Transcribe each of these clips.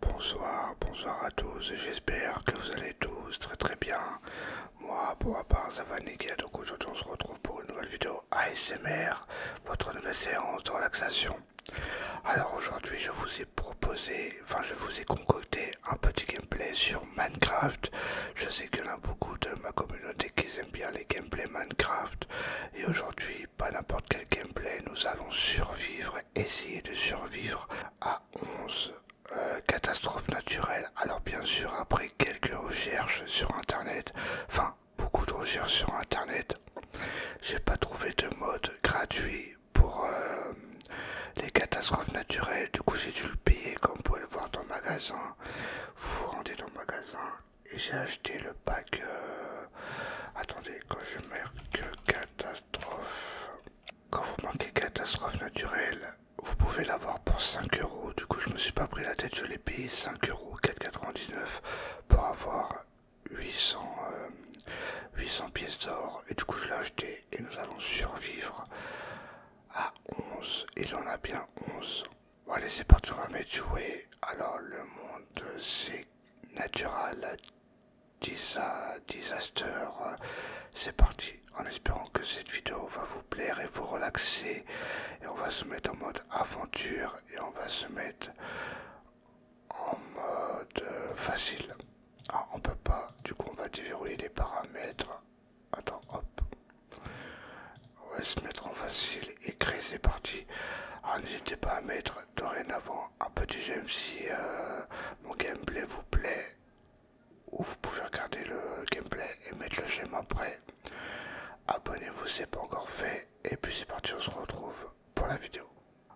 Bonsoir, bonsoir à tous j'espère que vous allez tous très très bien. Moi pour ma part ça va nickel donc aujourd'hui on se retrouve pour une nouvelle vidéo ASMR, votre nouvelle séance de relaxation. Alors aujourd'hui je vous ai proposé, enfin je vous ai concocté un petit gameplay sur Minecraft. Je sais qu'il y en a beaucoup de ma communauté qui aiment bien les gameplays Minecraft. Et aujourd'hui, pas n'importe quel gameplay, nous allons survivre, essayer de survivre à 11 euh, catastrophes naturelles. Alors bien sûr après quelques recherches sur internet, enfin beaucoup de recherches sur internet. J'ai pas trouvé de mode gratuit pour euh, les catastrophes naturelles, du coup j'ai dû le payer comme vous pouvez le voir dans le magasin. Vous vous rendez dans le magasin et j'ai acheté le pack. Euh, attendez, quand je marque catastrophe, quand vous manquez catastrophe naturelle, vous pouvez l'avoir pour 5 euros. Du coup, je me suis pas pris la tête, je l'ai payé 5 euros 4,99 pour avoir 800, 800 euh, pièces d'or et du coup je l'ai acheté et nous allons survivre à 11 il en a bien 11 allez c'est parti on va mettre jouer alors le monde c'est natural disaster c'est parti en espérant que cette vidéo va vous plaire et vous relaxer et on va se mettre en mode aventure et on va se mettre en mode euh, facile. Ah, on peut pas, du coup on va déverrouiller les paramètres. Attends, hop. On va se mettre en facile et créer ses parties. Alors ah, n'hésitez pas à mettre dorénavant un petit j'aime si euh, mon gameplay vous plaît. Ou vous pouvez regarder le gameplay et mettre le j'aime après. Abonnez-vous, c'est pas encore fait. Et puis c'est parti, on se retrouve pour la vidéo.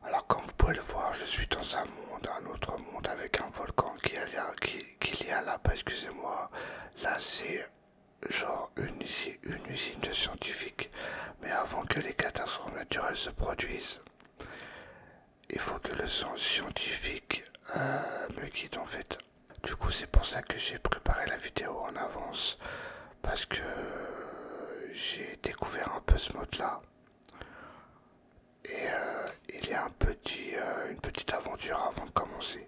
Alors comme vous pouvez le voir, je suis dans un monde, un autre monde avec un volcan qu'il a qui, y a là-bas, excusez-moi. Là, c'est genre une, une usine de scientifiques. Mais avant que les catastrophes naturelles se produisent, il faut que le sens scientifique euh, me guide en fait. Du coup c'est pour ça que j'ai préparé la vidéo en avance parce que j'ai découvert un peu ce mode là et euh, il y a un petit, euh, une petite aventure avant de commencer.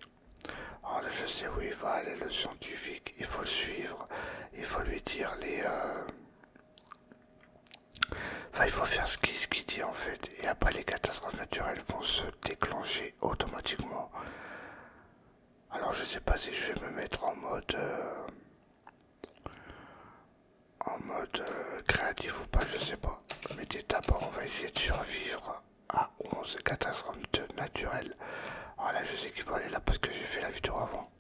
Alors ah, je sais où il va, aller le scientifique, il faut le suivre, il faut lui dire les... Euh, enfin, il faut faire ce qu'il dit en fait, et après les catastrophes naturelles vont se déclencher automatiquement. Alors je sais pas si je vais me mettre en mode euh, en mode euh, créatif ou pas, je sais pas. Mais d'abord on va essayer de survivre à 11 catastrophes naturelles. Voilà, ah, je sais qu'il faut aller là parce que j'ai fait la vidéo avant.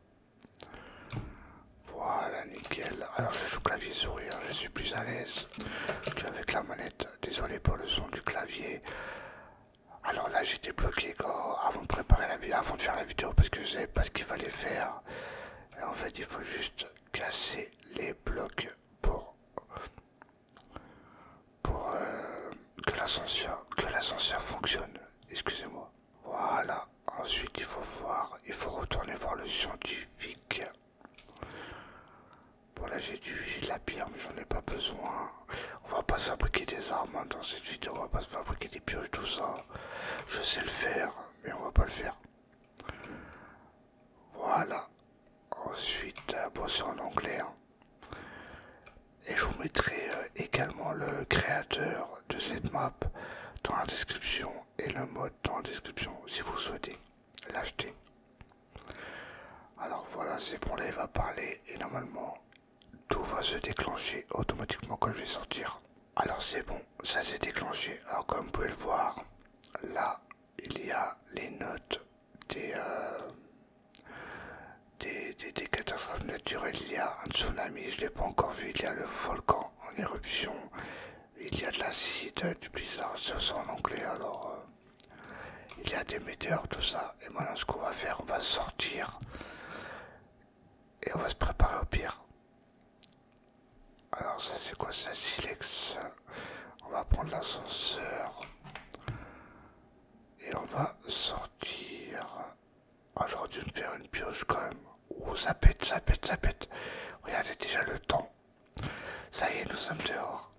Voilà, nickel. Alors je joue clavier sourire, hein. je suis plus à l'aise avec la manette. Désolé pour le son du clavier. Alors là j'étais bloqué avant de préparer la vidéo, avant de faire la vidéo parce que je savais pas ce qu'il fallait faire. en fait il faut juste casser les blocs pour, pour euh, que l'ascenseur fonctionne. Excusez-moi. Voilà. Ensuite il faut voir, il faut retourner voir le scientifique. Bon là j'ai du la pierre mais j'en ai pas besoin on va pas fabriquer des armes hein, dans cette vidéo, on va pas fabriquer des pioches, tout ça. Je sais le faire, mais on va pas le faire. Voilà. Ensuite, euh, bon c'est en anglais. Hein. Et je vous mettrai euh, également le créateur de cette map dans la description et le mode dans la description si vous souhaitez l'acheter. Alors voilà, c'est bon, là il va parler et normalement tout va se déclencher automatiquement quand je vais sortir. Alors c'est bon, ça s'est déclenché. Alors comme vous pouvez le voir, là il y a les notes des, euh, des, catastrophes naturelles. Il y a un tsunami, je ne l'ai pas encore vu. Il y a le volcan en éruption. Il y a de l'acide, du blizzard, c'est sont en anglais. Alors euh, il y a des météores, tout ça. Et maintenant ce qu'on va faire, on va sortir et on va se préparer au pire. Alors ça c'est quoi ça silex On va prendre l'ascenseur et on va sortir. Ah j'aurais dû me faire une pioche quand même. ouh ça pète, ça pète, ça pète. Regardez déjà le temps. Ça y est, nous sommes dehors.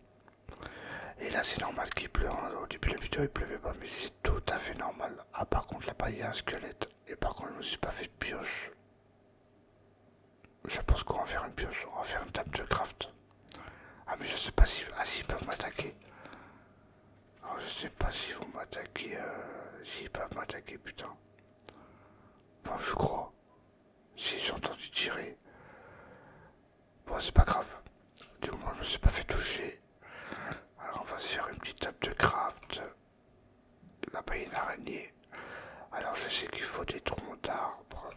Et là c'est normal qu'il pleuve hein. Au début de la vidéo il pleuvait pas, mais c'est tout à fait normal. Ah, par contre, là-bas, il y a un squelette. Et par contre, je me suis pas fait de pioche. Je pense qu'on va faire une pioche. On va faire une table de craft. Ah, mais je sais pas si. Ah, s'ils peuvent m'attaquer. Ah, je sais pas s'ils vont m'attaquer. Euh, s'ils peuvent m'attaquer, putain. Bon, je crois. Si j'ai entendu tirer. Bon, c'est pas grave. Du moins, je me suis pas fait toucher. Alors on va se faire une petite table de craft. Là-bas il y a une araignée. Alors je sais qu'il faut des troncs d'arbres.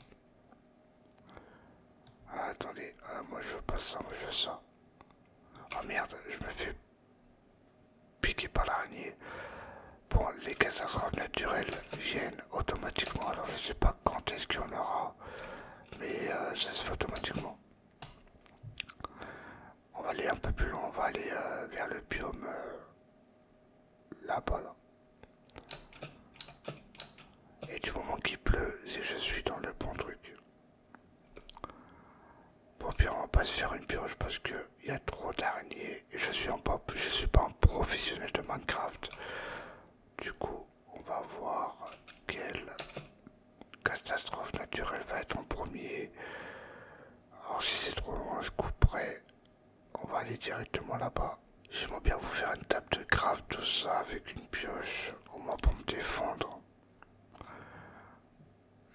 Ah, attendez, ah, moi je veux pas ça, moi je veux ça. Oh merde, je me fais piquer par l'araignée. Bon, les catastrophes naturelles viennent automatiquement, alors je sais pas quand est-ce qu'il y en aura, mais euh, ça se fait automatiquement on va aller un peu plus loin, on va aller euh, vers le biome euh, là-bas. Et du moment qu'il pleut, je suis dans le bon truc. Bon pire on va pas se faire une pioche parce que il y a trop d'araignées et je suis je suis pas un professionnel de Minecraft. Du coup on va voir quel catastrophe naturelle va être en premier. Alors si c'est trop loin, je couperai. On va aller directement là-bas. J'aimerais bien vous faire une tape de grave, tout ça, avec une pioche, au moins pour me défendre.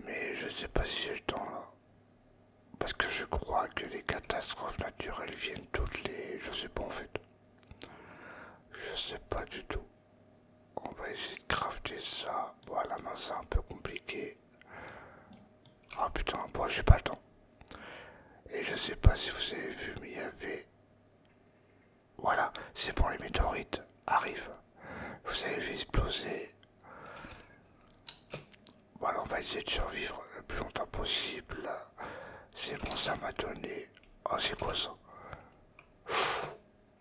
Mais je sais pas si j'ai le temps là. Parce que je crois que les catastrophes naturelles viennent toutes les... Je sais pas en fait. Je sais pas du tout on va essayer de crafter ça. Voilà, mais c'est un peu compliqué. Ah putain, bon, j'ai pas le temps. Et je sais pas si vous avez vu, mais il y avait. Voilà, c'est bon, les météorites arrivent. Vous avez vu exploser. Voilà, on va essayer de survivre le plus longtemps possible. C'est bon, ça m'a donné. Oh, c'est quoi ça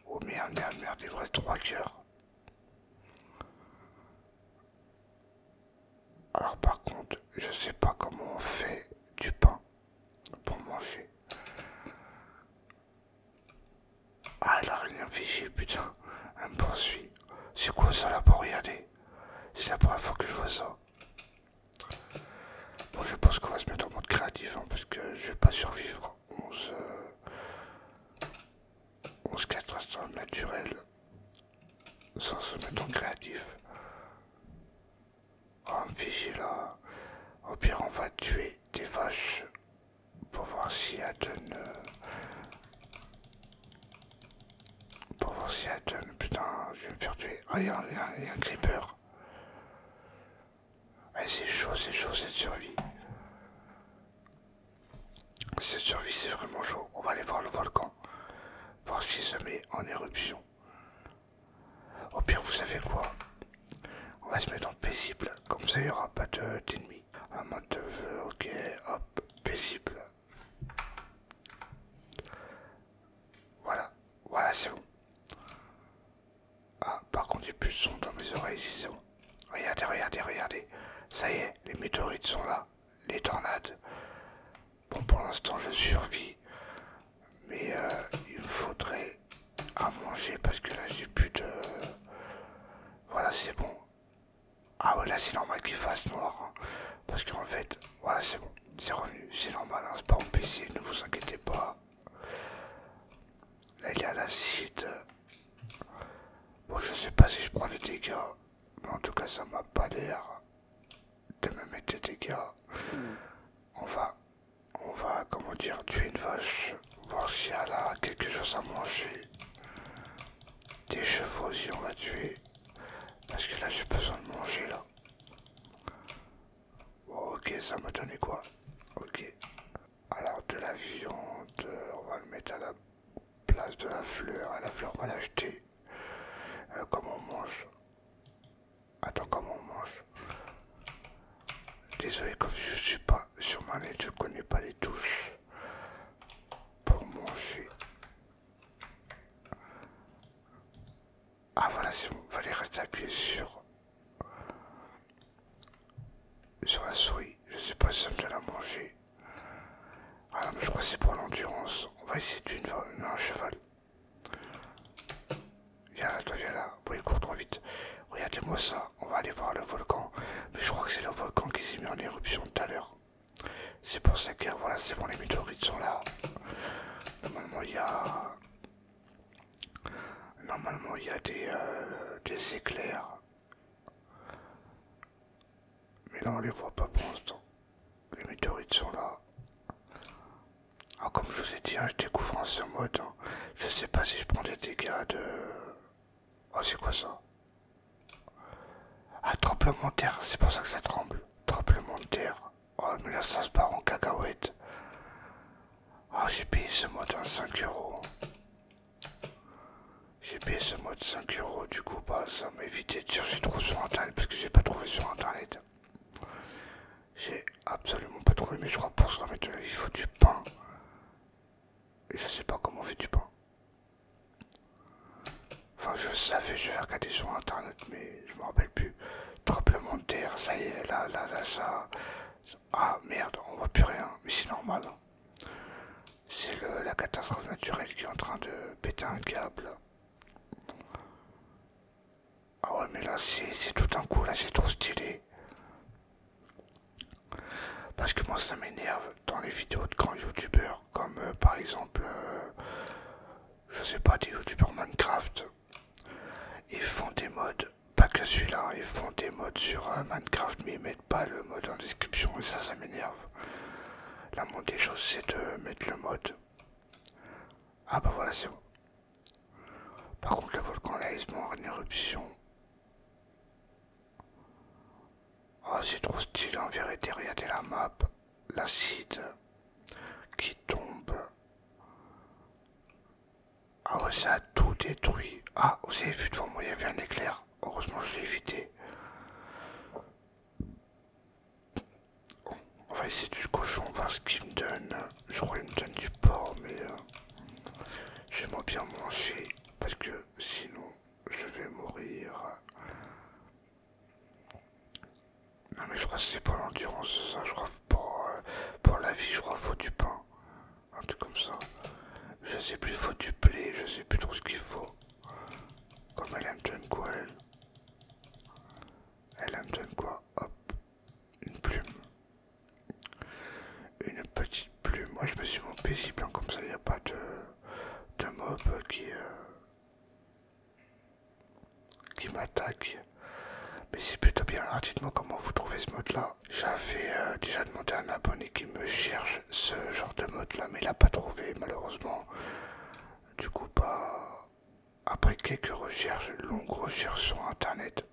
Oh merde, merde, merde, il vrai trois cœurs. Alors par contre, je sais pas comment on fait du pain pour manger. Ah, elle a rien figée putain. Elle me poursuit. C'est quoi ça là pour regarder C'est la première fois que je vois ça. Bon, je pense qu'on va se mettre en mode créatif, hein, parce que je vais pas survivre se, 11, euh, 11 catastrophes naturelles sans se mettre en créatif. Oh, oh, là. Au pire, on va tuer des vaches pour voir si elles donnent. Euh, pour voir si elles donnent. Putain, je vais me faire tuer. Ah, il y, a un creeper c'est chaud, c'est chaud cette survie. Cette survie, c'est vraiment chaud. On va aller voir le volcan, voir s'il se met en éruption. Au pire, vous savez quoi On va se mettre en paisible, comme ça il n'y aura pas d'ennemis. De, mode de, ok, hop, paisible. Voilà, voilà, c'est bon. Ah, par contre, j'ai plus de son dans mes oreilles, c'est bon. Regardez, regardez, regardez. Ça y est, les météorites sont là. Les tornades. Bon, pour l'instant, je survis. Mais euh, il me faudrait à manger parce que là, j'ai plus de... Voilà, c'est bon. Ah voilà, c'est normal qu'il fasse noir. Hein. Parce qu'en fait, voilà, c'est bon. C'est revenu. C'est normal, hein. c'est pas en PC, ne vous inquiétez pas. Là, il y a l'acide. Bon, je sais pas si je prends des dégâts, mais en tout cas, ça m'a pas l'air de me mettre des dégâts. Hmm. On va, on va, comment dire, tuer une vache, voir si elle a quelque chose à manger. Des chevaux aussi, on va tuer. Parce que là, j'ai besoin de manger, là. Bon, ok, ça m'a donné quoi Ok alors de la viande, on va le mettre à la place de la fleur, la fleur on va l'acheter. Euh, comment on mange Attends, comment on mange Désolé, comme je suis pas sur ma lettre, je connais pas les touches pour manger. Ah voilà, c'est bon, fallait rester appuyé sur sur la souris, je sais pas si ça me donne à manger. Ah mais je crois que c'est pour l'endurance. On va essayer d'une un cheval. Viens là, toi, viens là. Oui, il court trop vite. Regardez-moi ça. On va aller voir le volcan. Mais je crois que c'est le volcan qui s'est mis en éruption tout à l'heure. C'est pour ça que voilà, c'est pour les météorites sont là. Normalement, il y a. Normalement, il y a des euh, éclairs mais là on les voit pas pour l'instant. Les météorites sont là. Alors ah, comme je vous ai dit, hein, je découvre en ce mode. Hein. Je sais pas si je prends des dégâts de... Oh c'est quoi ça Ah tremblement de terre, c'est pour ça que ça tremble. Tremblement de terre. Oh mais là ça se barre en cacahuète. Ah j'ai payé ce mode 5 hein, euros. J'ai payé ce de 5 euros, du coup, bah, ça m'a évité de chercher trop sur internet parce que j'ai pas trouvé sur internet. J'ai absolument pas trouvé, mais je crois pour se remettre il faut du pain. Et je sais pas comment on fait du pain. Enfin, je savais, je vais regarder sur internet, mais je me rappelle plus. Tremblement de terre, ça y est, là, là, là, ça. Ah merde, on voit plus rien, mais c'est normal. Hein. C'est la catastrophe naturelle qui est en train de péter un câble. Ah ouais mais là c'est tout un coup, là c'est trop stylé. Parce que moi ça m'énerve dans les vidéos de grands youtubeurs, comme euh, par exemple, euh, je sais pas, des youtubeurs Minecraft. Ils font des modes pas que celui-là, hein. ils font des modes sur euh, Minecraft, mais ils mettent pas le mode en description et ça, ça m'énerve. La moindre des choses, c'est de mettre le mode. Ah bah voilà, c'est bon. Par contre, le volcan là, il se en éruption. Oh, c'est trop stylé en vérité, regardez la map. L'acide qui tombe. Ah ça a tout détruit. Ah, vous avez vu devant moi, il y avait un éclair. Heureusement, je l'ai évité. on va essayer du cochon, voir ce qu'il me donne. Je crois qu'il me donne du porc, mais euh, j'aimerais bien manger parce que sinon je vais mourir. Non mais je crois que c'est pour l'endurance ça, je crois pour, euh, pour la vie, je crois qu'il faut du pain un truc comme ça. Je sais plus, faut du plais, je sais plus trop ce qu'il faut. Comme elle aime John quoi, elle. aime John quoi, hop, une plume. Une petite plume. Moi, je me suis mon si bien comme ça, il n'y a pas de, mob qui, euh, qui m'attaque. Mais c'est plutôt bien. Alors, hein. dites-moi comment vous trouvez ce mode là. J'avais euh, déjà demandé à un abonné qui me cherche ce genre de mode là, mais il n'a pas trouvé malheureusement. Du coup, pas bah, après quelques recherches, longues recherches sur internet,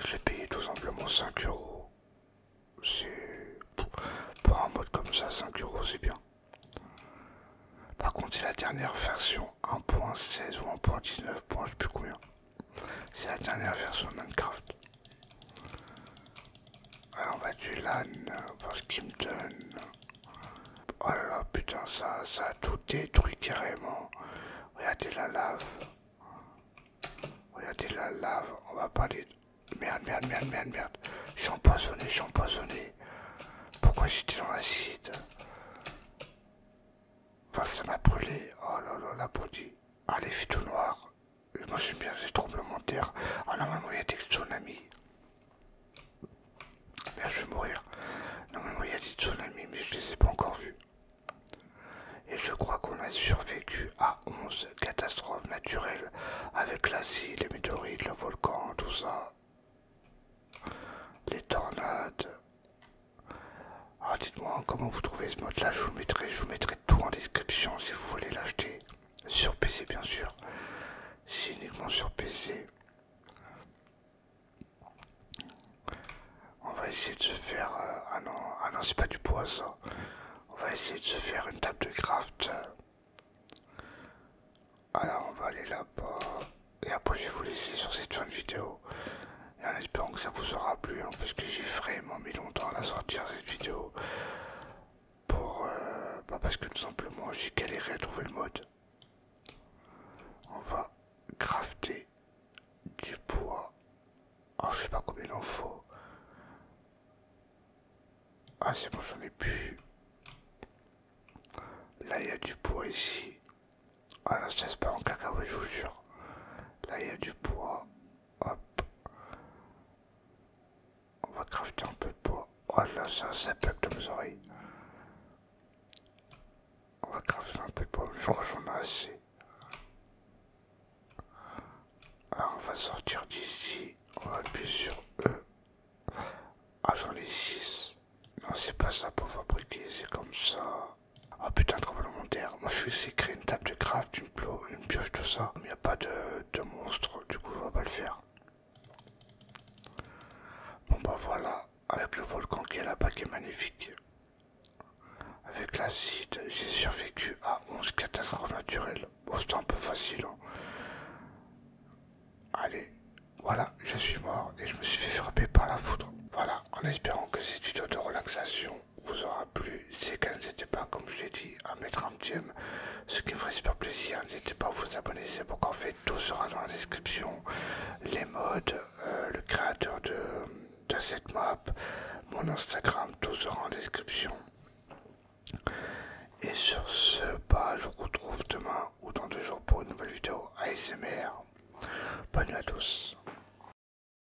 j'ai payé tout simplement 5 euros. Pour un mode comme ça, 5 euros c'est bien. Par contre, la dernière version 1.16 ou 1.19, je sais plus combien. C'est la dernière version de Minecraft. Alors on va tuer l'âne parce qu'il me donne... Oh là putain, ça, ça a tout détruit carrément. Regardez la lave. Regardez la lave. On va pas les... Merde, merde, merde, merde, merde. Je suis empoisonné, je suis empoisonné. Pourquoi j'étais dans l'acide Enfin, ça m'a brûlé. Oh là là, la body. Allez, ah, tout noir. moi j'aime bien ces tremblements de terre. Ah normalement il y a des tsunamis. Merde, je vais mourir. Non, il y a des tsunamis, mais je les ai pas encore vus. Et je crois qu'on a survécu à 11 catastrophes naturelles avec l'asile, les météorites, le volcan, tout ça. Les tornades, alors ah, dites-moi comment vous trouvez ce mode là, je vous mettrai, je vous mettrai tout en description si vous voulez l'acheter. Sur PC bien sûr. C'est uniquement sur PC. On va essayer de se faire... Euh, ah non, ah non c'est pas du poison. On va essayer de se faire une table de craft. Alors on va aller là-bas. Et après je vais vous laisser sur cette fin de vidéo et en espérant que ça vous aura plu, hein, parce que j'ai vraiment mis longtemps à sortir cette vidéo, pour, euh, bah, parce que tout simplement j'ai galéré à trouver le mode. On va crafter du poids oh, ah, je sais pas combien il en faut. Ah c'est bon j'en ai plus. Là il y a du poids ici. Ah là c'est se en cacao je vous jure. Là il y a du poids Hop. On va crafter un peu de bois. Oh là, ça, ça peuple de mes oreilles. On va crafter un peu de bois. Je crois que j'en ai assez. Alors, on va sortir d'ici. On va appuyer sur E. Ah, j'en ai 6. Non, c'est pas ça pour fabriquer, c'est comme ça. Oh putain, trop terre Moi je suis créer une table de craft, une, une pioche, tout ça. Il n'y a pas de, monstre, du coup je vais pas le faire. Bon bah voilà, avec le volcan qui est là-bas qui est magnifique. Avec l'acide, j'ai survécu à 11 catastrophes naturelles. Bon, c'était un peu facile. Hein. Allez, voilà, je suis mort et je me suis fait frapper par la foudre. Voilà, en espérant que une vidéo de relaxation vous aura plu. C'est quand n'hésitez pas, comme je l'ai dit, à mettre un petit Ce qui me ferait super plaisir, n'hésitez pas à vous abonner, c'est pour qu'en fait tout sera dans la description. Les modes, euh, le créateur de, cette map, mon Instagram, tout sera en description. Et sur ce, bah, je vous retrouve demain ou dans deux jours pour une nouvelle vidéo ASMR. Bonne nuit à tous.